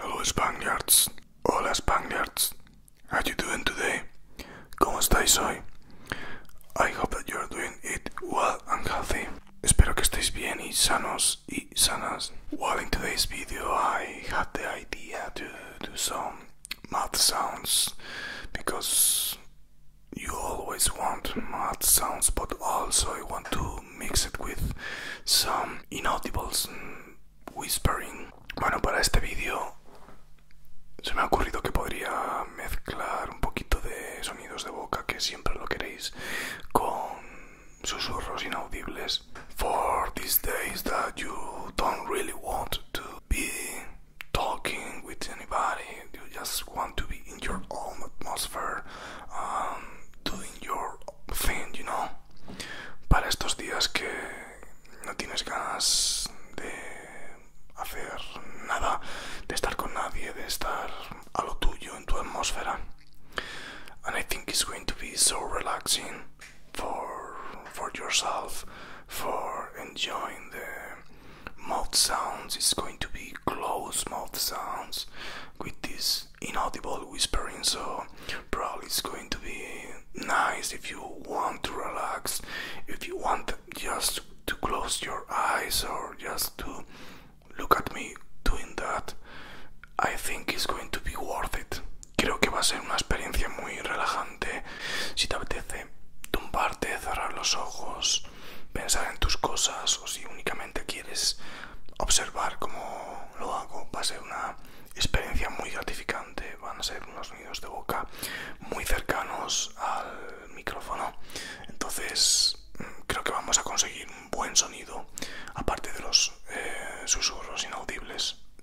Hello Spaniards, hola Spaniards, how you doing today? ¿Cómo estáis hoy? I hope that you're doing it well and healthy. Espero que estéis bien y sanos y sanas. Well, in today's video I had the idea to do some sounds because you always want mouth sounds, but also you want to mix it with some inaudibles, whispering. Bueno, para este vídeo se me ha ocurrido que podría mezclar un poquito de sonidos de boca, que siempre lo queréis, con susurros inaudibles for these days that you don't really want to be talking with anybody. You just want to be in your own atmosphere, um, doing your thing, you know. Para estos días que no tienes ganas de hacer nada, de estar con nadie, de estar a lo tuyo en tu atmósfera. And I think it's going to be so relaxing for for yourself for enjoying the mouth sounds it's going to be close mouth sounds with this inaudible whispering so probably it's going to be nice if you want to relax if you want just to close your eyes or just to look at me doing that i think it's going to be worth it Creo que va a ser una experiencia muy relajante. Si te apetece tumbarte, cerrar los ojos, pensar en tus cosas o si únicamente quieres observar cómo lo hago, va a ser una experiencia muy gratificante. Van a ser unos sonidos de boca muy cercanos al micrófono. Entonces mm, creo que vamos a conseguir un buen sonido, aparte de los Eh,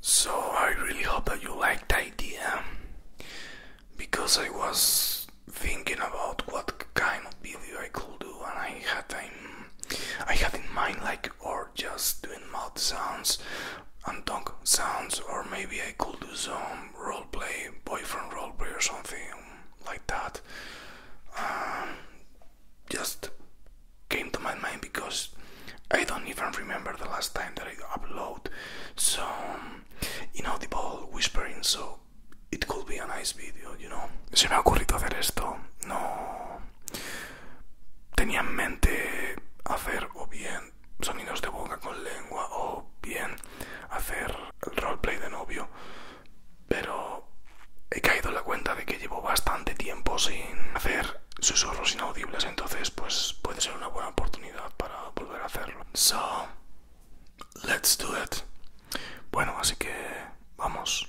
so I really hope that you liked the idea because I was thinking about what kind of video I could do and I had in mind like or just doing mouth sounds and tongue sounds or maybe I could do some roleplay, boyfriend roleplay or something like that. Um, just came to my mind because I don't even remember the last time that I upload So, you know, the inaudible whispering, so it could be a nice video, you know. Se me ha ocurrido hacer esto, no tenía en mente hacer o bien sonidos de boca con lengua o bien hacer el roleplay de novio, pero he caído en la cuenta de que llevo bastante tiempo sin hacer susurros inaudibles, entonces pues puede ser una buena oportunidad para volver a hacerlo. So, let's do it. Bueno, así que vamos.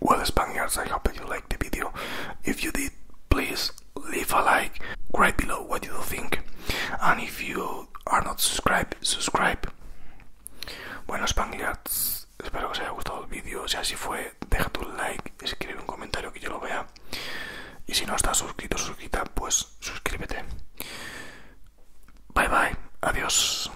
Well, Spaniards, I hope you liked the video. If you did, please leave a like, right below what you think, and if you are not subscribed, subscribe. Bueno, Spaniards. Espero que os haya gustado el vídeo. Si así fue, deja tu like, escribe un comentario que yo lo vea. Y si no estás suscrito, suscrita, pues suscríbete. Bye bye, adiós.